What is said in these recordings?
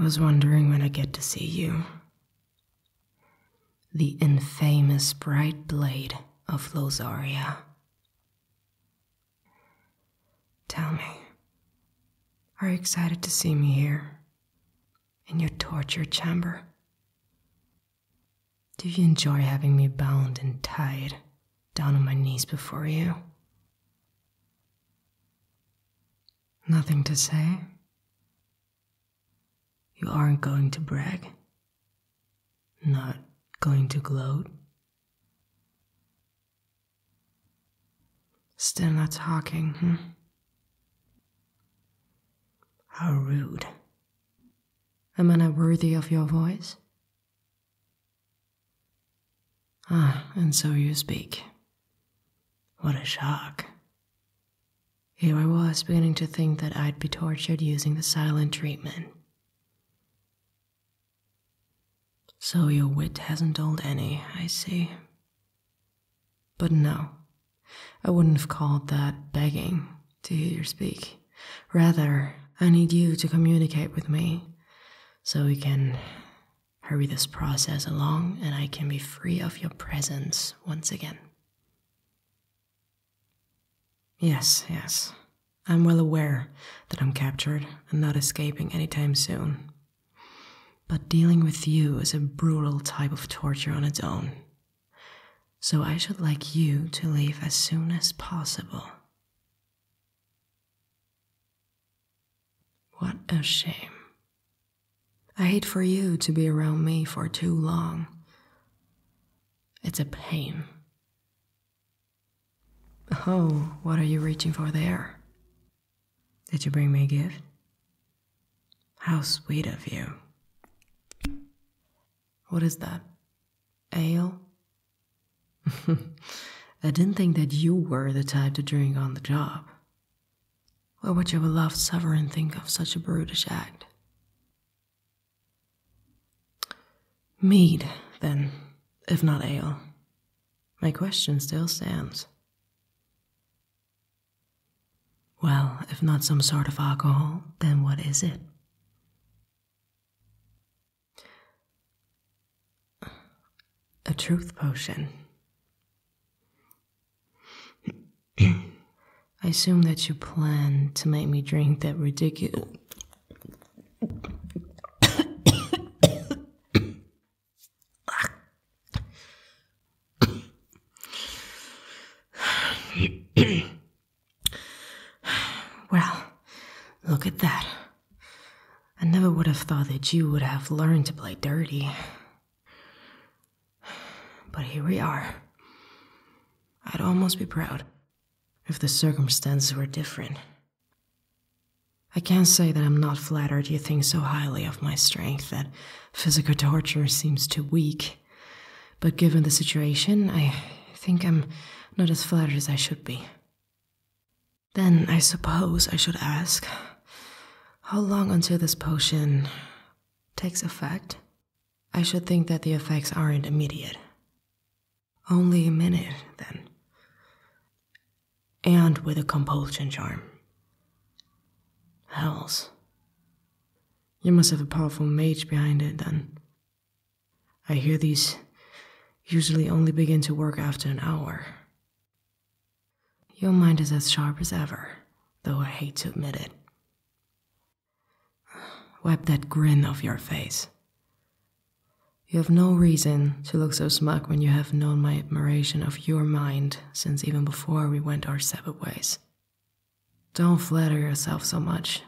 I was wondering when I'd get to see you the infamous bright blade of Lotharia. Tell me, are you excited to see me here, in your torture chamber? Do you enjoy having me bound and tied down on my knees before you? Nothing to say? You aren't going to brag, not going to gloat? Still not talking, hmm? How rude. Am I worthy of your voice? Ah, and so you speak. What a shock. Here I was beginning to think that I'd be tortured using the silent treatment. So your wit hasn't told any, I see. But no, I wouldn't have called that begging to hear you speak. Rather, I need you to communicate with me so we can hurry this process along and I can be free of your presence once again. Yes, yes. I'm well aware that I'm captured and not escaping any time soon. But dealing with you is a brutal type of torture on its own. So I should like you to leave as soon as possible. What a shame. I hate for you to be around me for too long. It's a pain Oh, what are you reaching for there? Did you bring me a gift? How sweet of you. What is that? Ale? I didn't think that you were the type to drink on the job. What would your beloved sovereign think of such a brutish act? Mead, then, if not ale. My question still stands. Well, if not some sort of alcohol, then what is it? A truth potion. I assume that you plan to make me drink that ridiculous well, look at that. I never would have thought that you would have learned to play dirty. But here we are. I'd almost be proud if the circumstances were different. I can't say that I'm not flattered you think so highly of my strength that physical torture seems too weak, but given the situation, I think I'm not as flattered as I should be. Then I suppose I should ask how long until this potion takes effect? I should think that the effects aren't immediate. Only a minute, then. And with a compulsion charm. Hells. You must have a powerful mage behind it, then. I hear these usually only begin to work after an hour. Your mind is as sharp as ever, though I hate to admit it. Wipe that grin off your face. You have no reason to look so smug when you have known my admiration of your mind since even before we went our separate ways. Don't flatter yourself so much.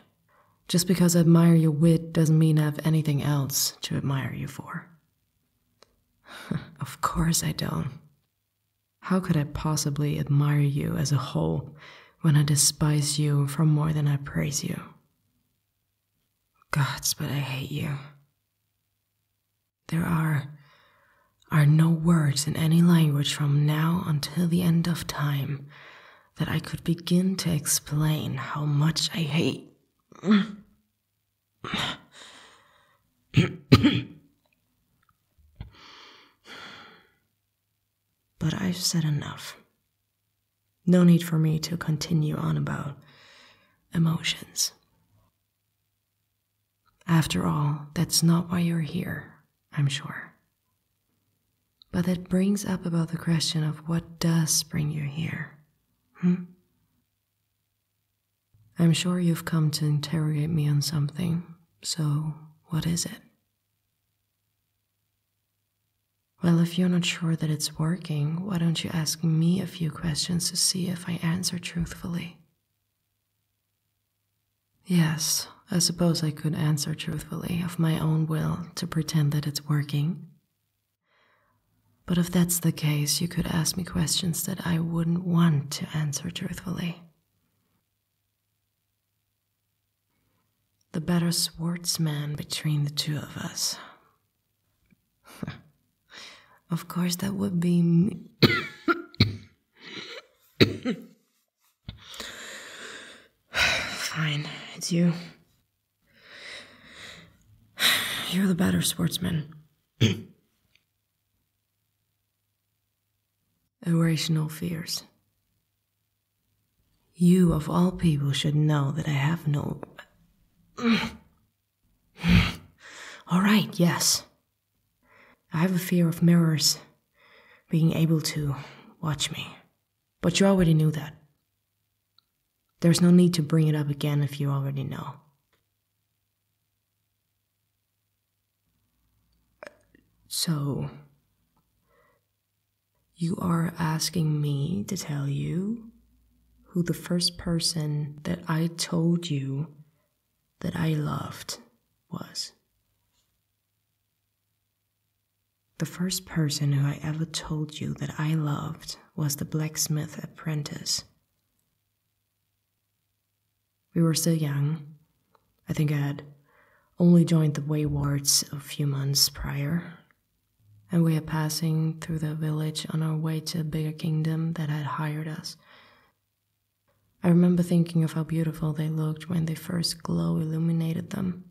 Just because I admire your wit doesn't mean I have anything else to admire you for. of course I don't. How could I possibly admire you as a whole when I despise you for more than I praise you? Gods, but I hate you. There are are no words in any language from now until the end of time that I could begin to explain how much I hate. But I've said enough. No need for me to continue on about emotions. After all, that's not why you're here, I'm sure. But that brings up about the question of what does bring you here? Hmm? I'm sure you've come to interrogate me on something, so what is it? Well, if you're not sure that it's working, why don't you ask me a few questions to see if I answer truthfully? Yes, I suppose I could answer truthfully of my own will to pretend that it's working. But if that's the case, you could ask me questions that I wouldn't want to answer truthfully. The better swordsman between the two of us. of course, that would be me. Fine, it's you. You're the better sportsman. Irrational fears. You, of all people, should know that I have no. all right, yes. I have a fear of mirrors being able to watch me. But you already knew that. There's no need to bring it up again if you already know. So, you are asking me to tell you who the first person that I told you that I loved was. The first person who I ever told you that I loved was the blacksmith apprentice. We were still young. I think I had only joined the Waywards a few months prior, and we were passing through the village on our way to a bigger kingdom that had hired us. I remember thinking of how beautiful they looked when the first glow illuminated them.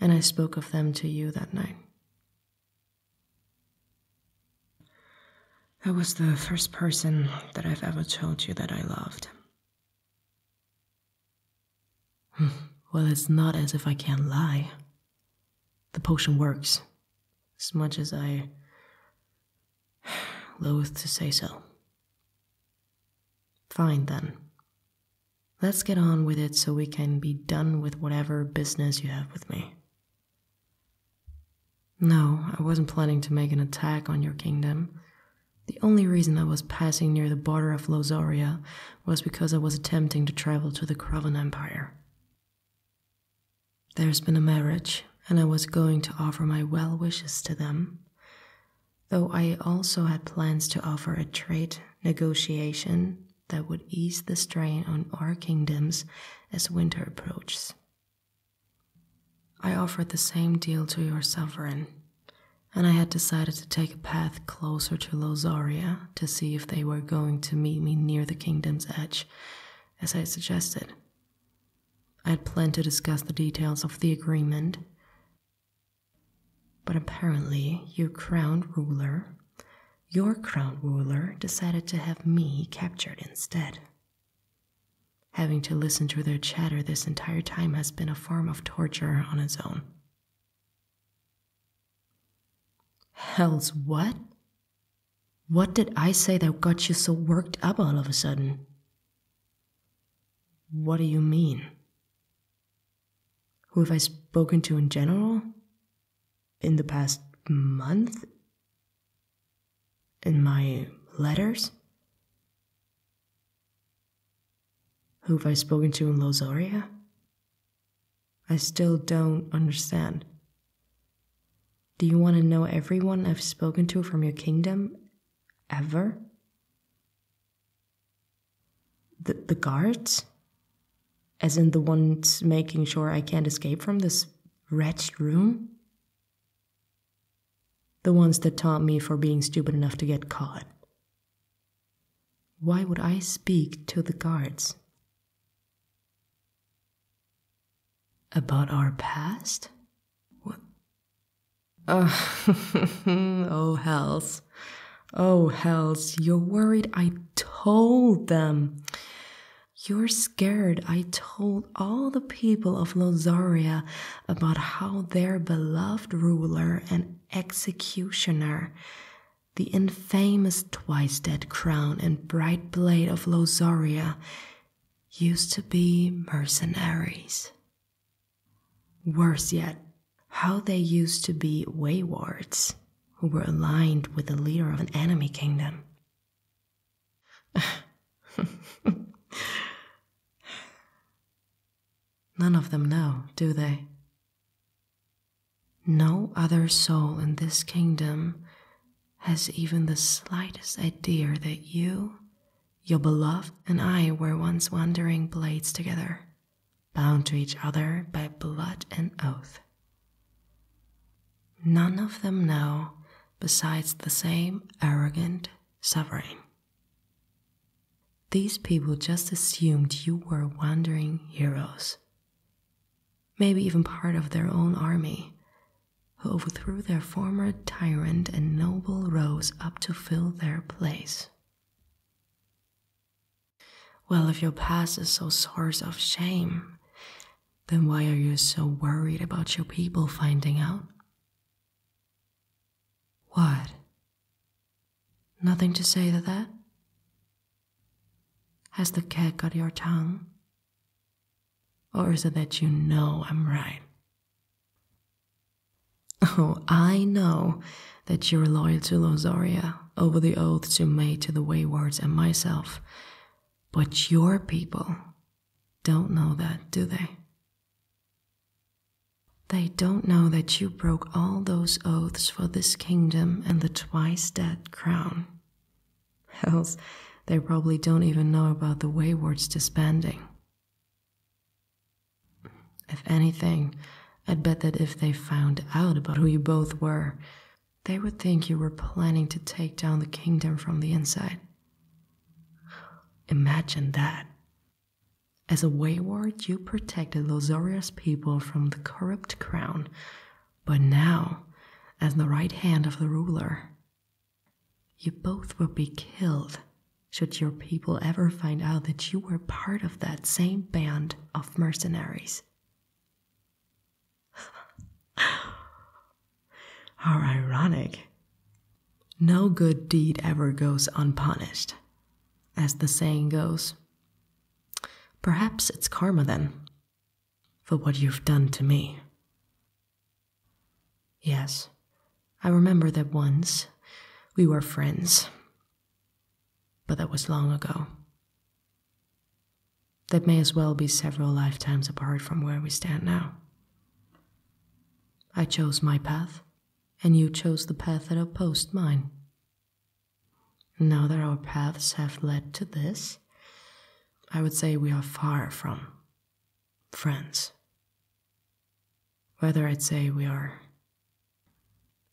And I spoke of them to you that night. I was the first person that I've ever told you that I loved. well, it's not as if I can't lie. The potion works, as much as I loathe to say so. Fine then. Let's get on with it so we can be done with whatever business you have with me. No, I wasn't planning to make an attack on your kingdom. The only reason I was passing near the border of Lozaria was because I was attempting to travel to the Kraven Empire. There's been a marriage, and I was going to offer my well wishes to them, though I also had plans to offer a trade negotiation that would ease the strain on our kingdoms as winter approaches. I offered the same deal to your sovereign, and I had decided to take a path closer to Lozaria to see if they were going to meet me near the kingdom's edge, as I had suggested. I had planned to discuss the details of the agreement, but apparently your crown ruler, your crown ruler, decided to have me captured instead. Having to listen to their chatter this entire time has been a form of torture on its own. Hell's what? What did I say that got you so worked up all of a sudden? What do you mean? Who have I spoken to in general? In the past month? In my letters? Who have I spoken to in Lozaria? I still don't understand. Do you want to know everyone I've spoken to from your kingdom? Ever? The, the guards? As in the ones making sure I can't escape from this wretched room? The ones that taunt me for being stupid enough to get caught, why would I speak to the guards? About our past? oh, hells. Oh, hells. You're worried I told them. You're scared. I told all the people of Lozaria about how their beloved ruler and executioner, the infamous twice dead crown and bright blade of Lozoria used to be mercenaries. Worse yet, how they used to be waywards who were aligned with the leader of an enemy kingdom. None of them know, do they? No other soul in this kingdom has even the slightest idea that you, your beloved, and I were once wandering blades together, bound to each other by blood and oath. None of them know besides the same arrogant sovereign. These people just assumed you were wandering heroes, maybe even part of their own army, who overthrew their former tyrant and noble rose up to fill their place. Well, if your past is so source of shame, then why are you so worried about your people finding out? What? Nothing to say to that? Has the cat got your tongue? Or is it that you know I'm right? Oh, I know that you're loyal to Losaria over the oaths you made to the Waywards and myself, but your people don't know that, do they? They don't know that you broke all those oaths for this kingdom and the twice dead crown. Else, they probably don't even know about the wayward's disbanding. If anything, I'd bet that if they found out about who you both were, they would think you were planning to take down the kingdom from the inside. Imagine that. As a wayward, you protected Lozoria's people from the corrupt crown, but now, as the right hand of the ruler, you both will be killed should your people ever find out that you were part of that same band of mercenaries. How ironic. No good deed ever goes unpunished. As the saying goes, Perhaps it's karma then, for what you've done to me. Yes, I remember that once we were friends, but that was long ago. That may as well be several lifetimes apart from where we stand now. I chose my path, and you chose the path that opposed mine. Now that our paths have led to this, I would say we are far from friends. Whether I'd say we are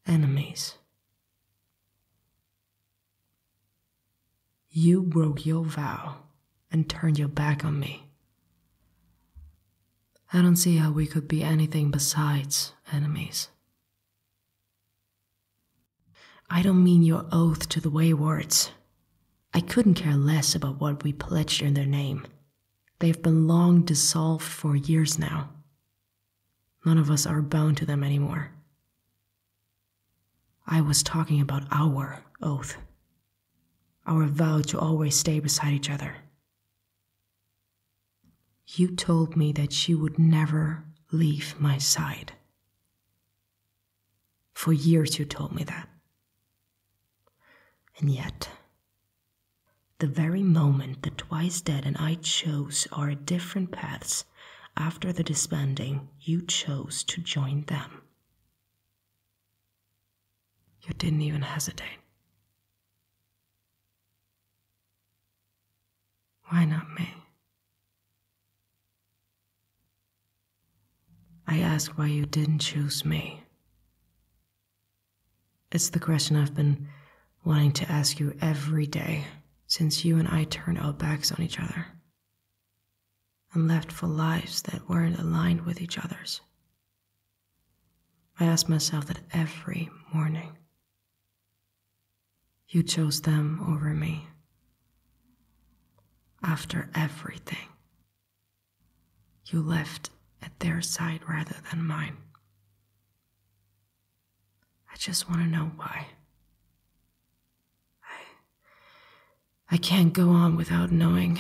enemies. You broke your vow and turned your back on me. I don't see how we could be anything besides enemies I don't mean your oath to the Waywards. I couldn't care less about what we pledged in their name. They've been long dissolved for years now. None of us are bound to them anymore. I was talking about our oath, our vow to always stay beside each other. You told me that she would never leave my side. For years you told me that. And yet, the very moment the twice dead and I chose our different paths after the disbanding, you chose to join them. You didn't even hesitate. Why not me? I ask why you didn't choose me. It's the question I've been wanting to ask you every day since you and I turned our backs on each other and left for lives that weren't aligned with each other's. I ask myself that every morning you chose them over me. After everything, you left at their side rather than mine. I just want to know why. I, I can't go on without knowing.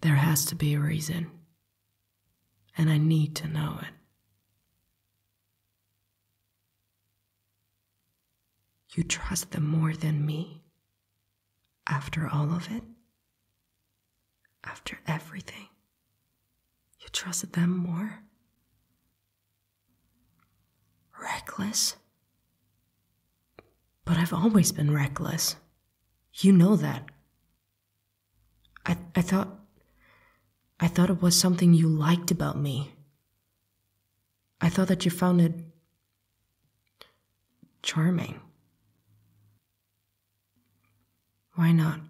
There has to be a reason and I need to know it. You trust them more than me after all of it, after everything. You trust them more? Reckless? But I've always been reckless. You know that. I, I thought. I thought it was something you liked about me. I thought that you found it. charming. Why not?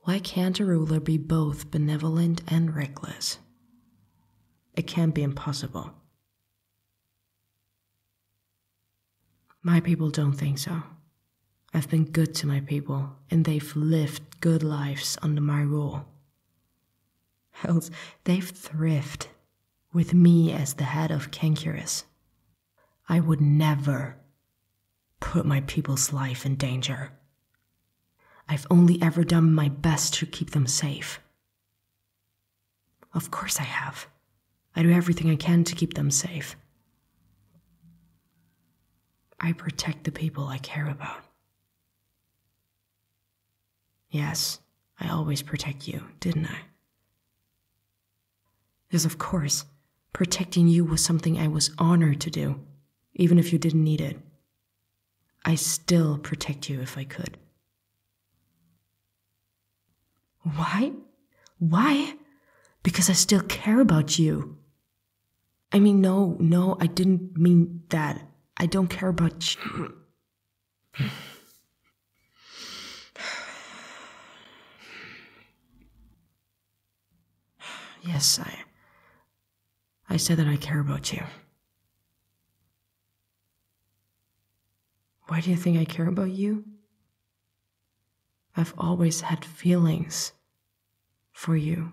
Why can't a ruler be both benevolent and reckless? It can't be impossible. My people don't think so. I've been good to my people, and they've lived good lives under my rule. Else, they've thrived with me as the head of Cankerus. I would never put my people's life in danger. I've only ever done my best to keep them safe. Of course I have. I do everything I can to keep them safe. I protect the people I care about. Yes, I always protect you, didn't I? Yes, of course, protecting you was something I was honored to do, even if you didn't need it. I still protect you if I could. Why? Why? Because I still care about you. I mean, no, no, I didn't mean that. I don't care about you. yes, I. I said that I care about you. Why do you think I care about you? I've always had feelings for you.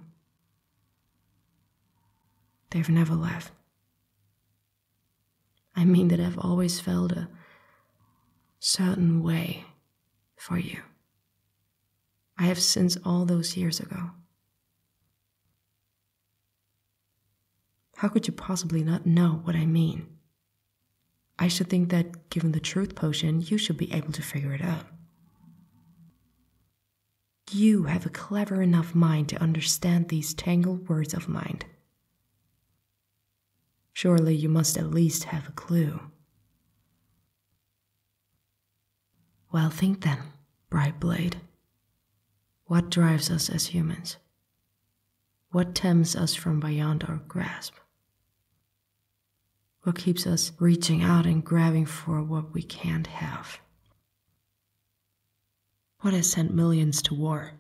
They've never left. I mean that I've always felt a certain way for you. I have since all those years ago. How could you possibly not know what I mean? I should think that given the truth potion, you should be able to figure it out. You have a clever enough mind to understand these tangled words of mind. Surely you must at least have a clue. Well, think then, Bright Blade. What drives us as humans? What tempts us from beyond our grasp? What keeps us reaching out and grabbing for what we can't have? What has sent millions to war?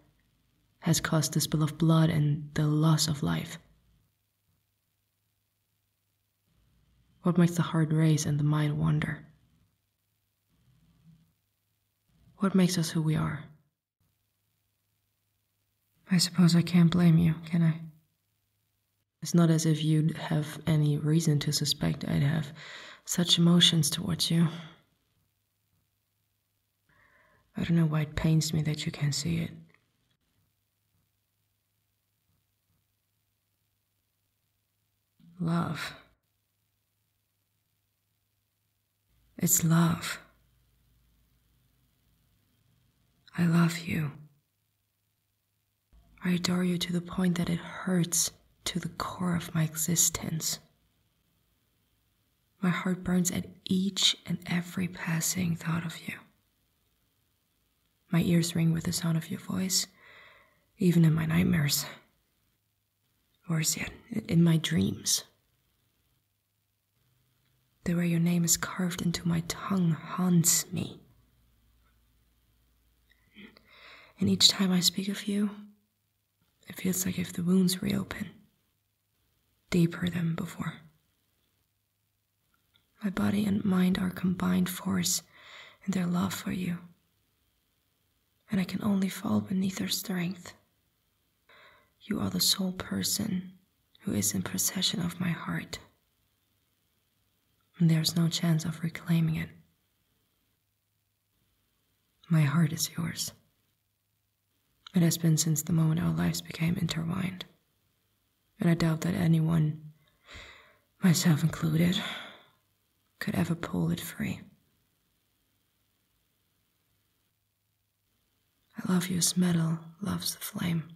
Has caused the spill of blood and the loss of life? What makes the heart race and the mind wander? What makes us who we are? I suppose I can't blame you, can I? It's not as if you'd have any reason to suspect I'd have such emotions towards you. I don't know why it pains me that you can't see it. Love. It's love. I love you. I adore you to the point that it hurts to the core of my existence. My heart burns at each and every passing thought of you. My ears ring with the sound of your voice, even in my nightmares. Worse yet, in my dreams. The way your name is carved into my tongue haunts me. And each time I speak of you, it feels like if the wounds reopen, deeper than before. My body and mind are combined force in their love for you, and I can only fall beneath their strength. You are the sole person who is in possession of my heart. There's no chance of reclaiming it. My heart is yours. It has been since the moment our lives became intertwined. And I doubt that anyone, myself included, could ever pull it free. I love you as metal loves the flame.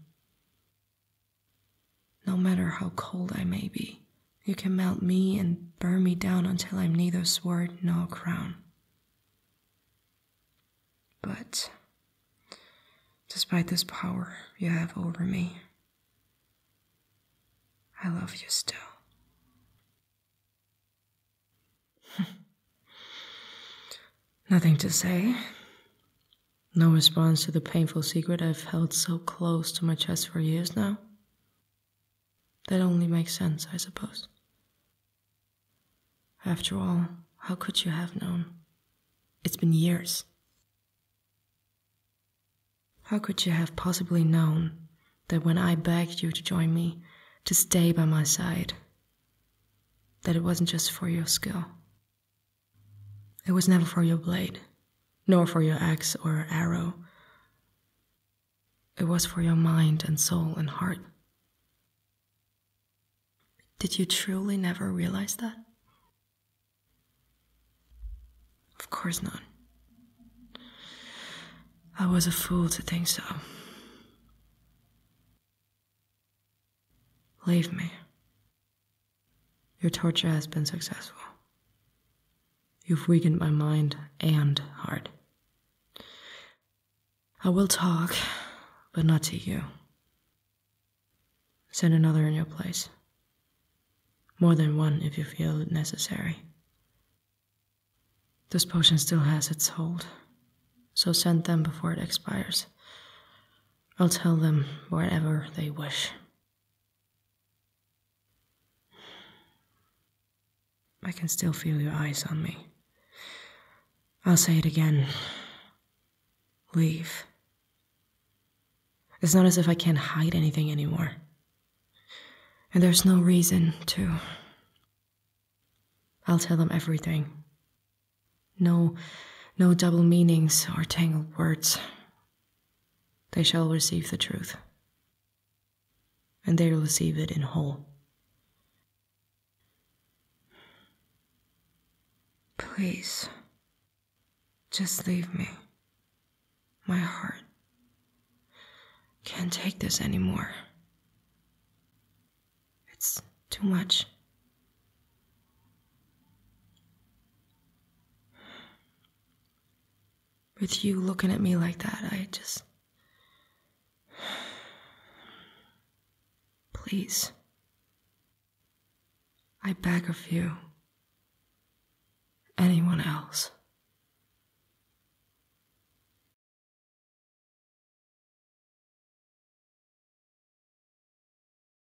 No matter how cold I may be, you can melt me and burn me down until I'm neither sword nor crown. But despite this power you have over me, I love you still. Nothing to say. No response to the painful secret I've held so close to my chest for years now? That only makes sense, I suppose. After all, how could you have known? It's been years. How could you have possibly known that when I begged you to join me, to stay by my side, that it wasn't just for your skill? It was never for your blade, nor for your axe or arrow. It was for your mind and soul and heart. Did you truly never realize that? Of course not. I was a fool to think so. Leave me. Your torture has been successful. You've weakened my mind and heart. I will talk, but not to you. Send another in your place. More than one if you feel it necessary. This potion still has its hold, so send them before it expires. I'll tell them whatever they wish. I can still feel your eyes on me. I'll say it again. Leave. It's not as if I can't hide anything anymore. And there's no reason to. I'll tell them everything. No, no double meanings or tangled words. They shall receive the truth, and they will receive it in whole. Please, just leave me. My heart can't take this anymore. It's too much. With you looking at me like that, I just. Please. I beg of you. Anyone else.